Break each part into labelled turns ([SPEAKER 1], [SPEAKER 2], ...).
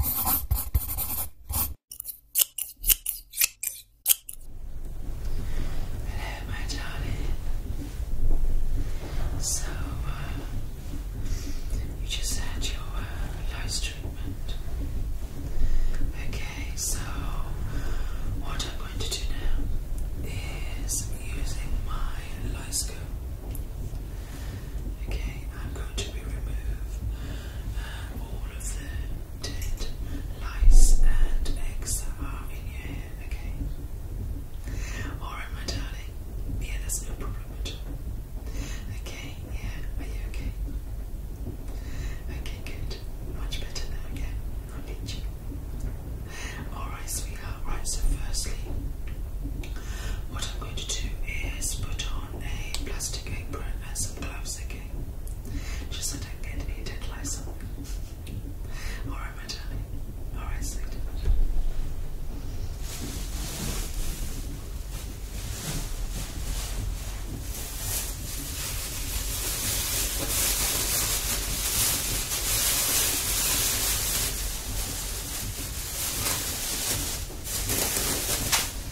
[SPEAKER 1] Hello, my darling. So, uh, you just had your uh, treatment. Okay, so what I'm going to do now is using my lice Okay, I'm going to remove uh, all of the dead lice and eggs that are in your hair. Okay. Alright, my darling. Yeah, that's no problem at all. Okay, yeah. Are you okay? Okay, good. Much better now, yeah. I need you. Alright, sweetheart. Right, so firstly, what I'm going to do is put on a plastic apron and some gloves again. She said I'd get eaten like something. Alright, my darling. Alright, sweetheart.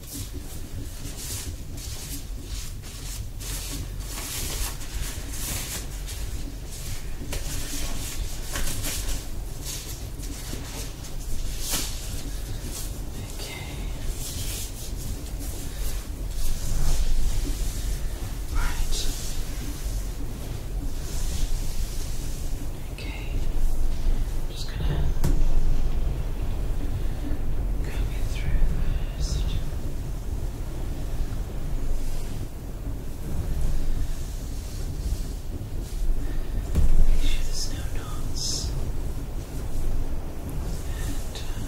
[SPEAKER 1] Right. Okay. I'm just gonna comb it through passage. Make sure there's no knots. And uh,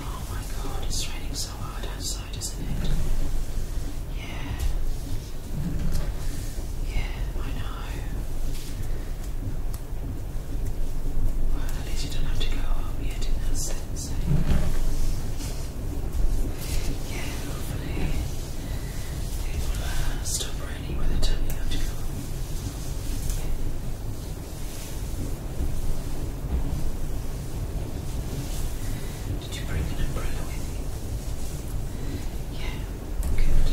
[SPEAKER 1] Oh my god, it's raining so hard outside, isn't it? Yeah. Yeah, I know. Well, at least you don't have to go up yet in that sense. Eh? Yeah, hopefully it will stop raining by the time you have to go Did you bring an umbrella with you? Yeah, good.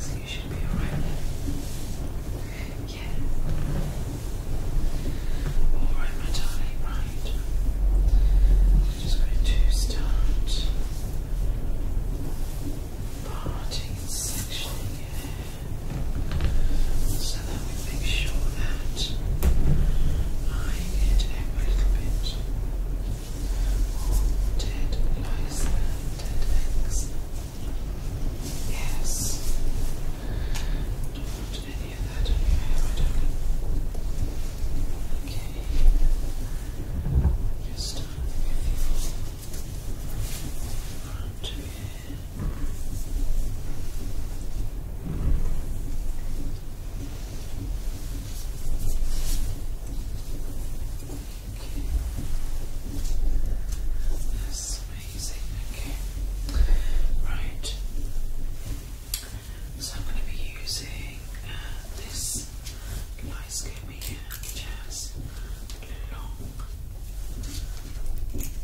[SPEAKER 1] So you should be alright Yeah. Alright, my darling, right. i just going to start parting and sectioning here so that we make sure that I get every little bit dead lice dead eggs. Yes any of Okay. Just start with your front Okay. That's amazing. Okay. Right. So I'm going to be using uh, this lice comb here, which long pins,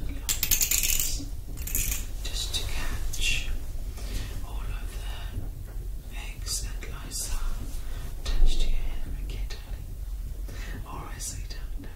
[SPEAKER 1] long pins, just to catch all of the eggs and lice are attached to your and get Alright, so you don't know.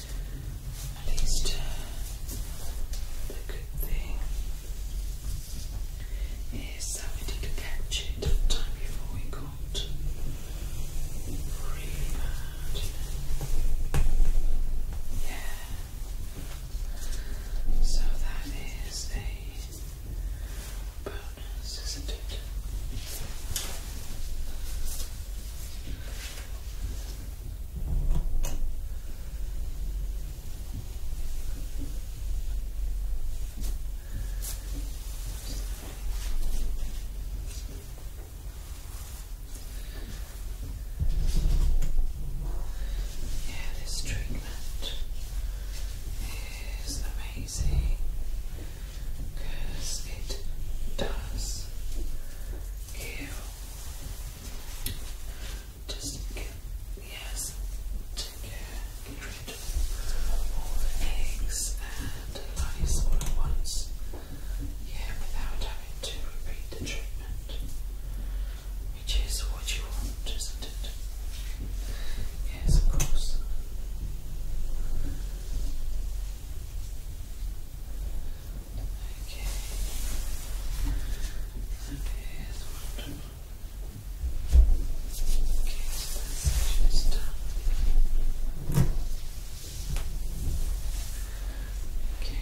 [SPEAKER 1] at least the good thing is that we catch it in time before we got really Yeah. So that is a bonus, isn't it? Yeah, this treatment is amazing because it does heal just get, yes, to get rid of eggs and lice all at Yeah, without having to repeat the treatment, which is what you want, isn't it? Yes, of course. Okay. That is wonderful. Okay, so Okay.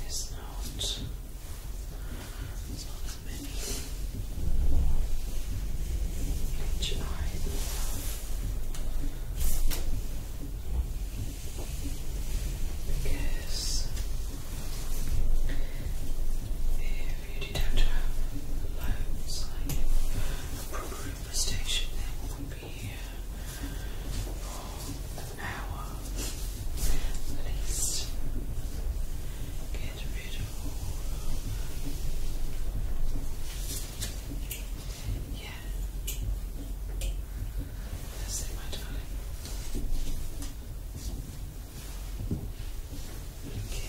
[SPEAKER 1] There's not, there's not as each eye. Because if you did have have loads like a proper infestation, then it be here for Get rid of yeah. That's it, my darling. Okay.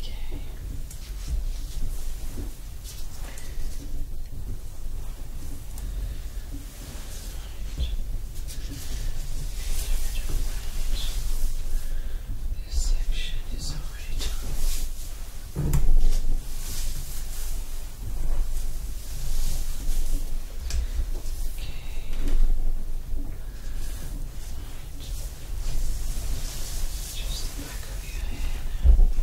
[SPEAKER 1] Okay. Right. This section is already Okay. Just the back of your head. Okay.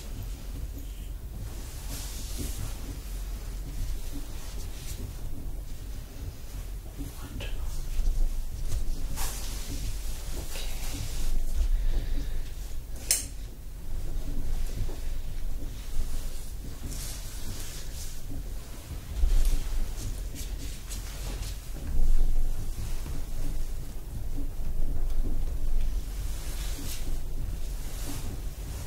[SPEAKER 1] Wonderful. Okay. Okay.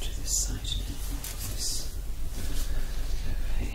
[SPEAKER 1] To this side now. This Okay.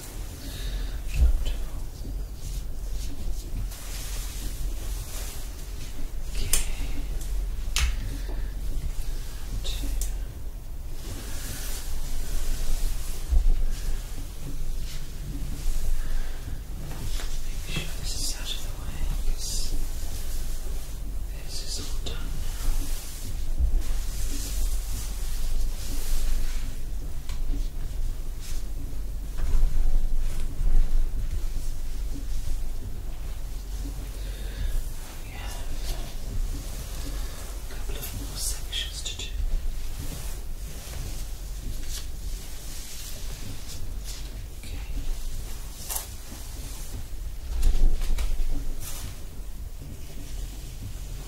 [SPEAKER 1] Make sure this is out of the way because this is all done now. We have a couple of more sections to do. Okay.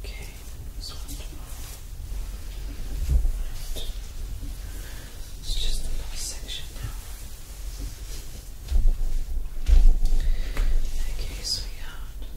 [SPEAKER 1] Okay, this one just the last section now. Okay, sweetheart.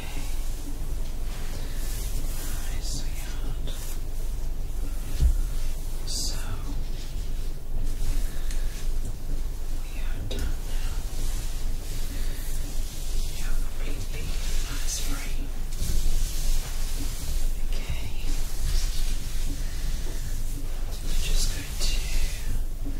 [SPEAKER 1] Hi, So, we are done now. You are completely free. Okay. I'm just going to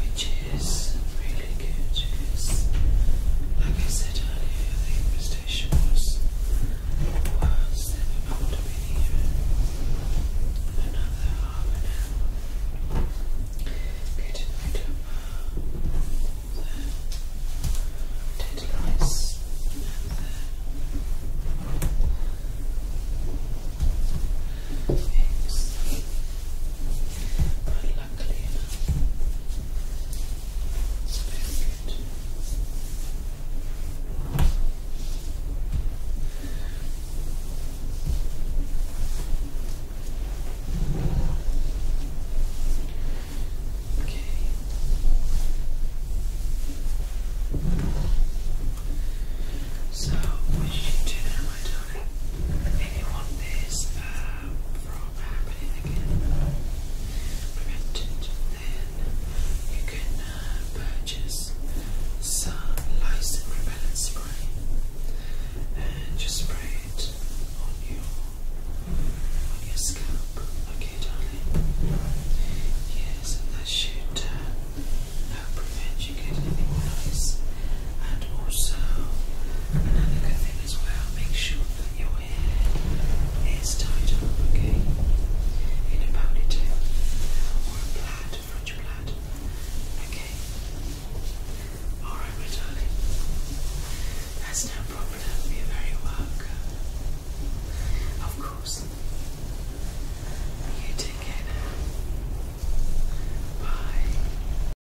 [SPEAKER 1] which is really good because, like I said earlier, the infestation was worse than it ought to be. Another half an hour. Get in my club. The dead lice and Magdalena. Okay. So what you do now, my darling, if you want this um, from happening again. Prevented. Then you can purchase some Lysin repellent spray and just spray it on your on your scalp. Okay, darling. Yes, that should help prevent you getting anything nice and also another good thing as well, make sure that your hair is tied up, okay? In a ponytail or a plaid, French plaid, okay? Alright my darling, that's no problem, you're very welcome. Of course. You take care Bye.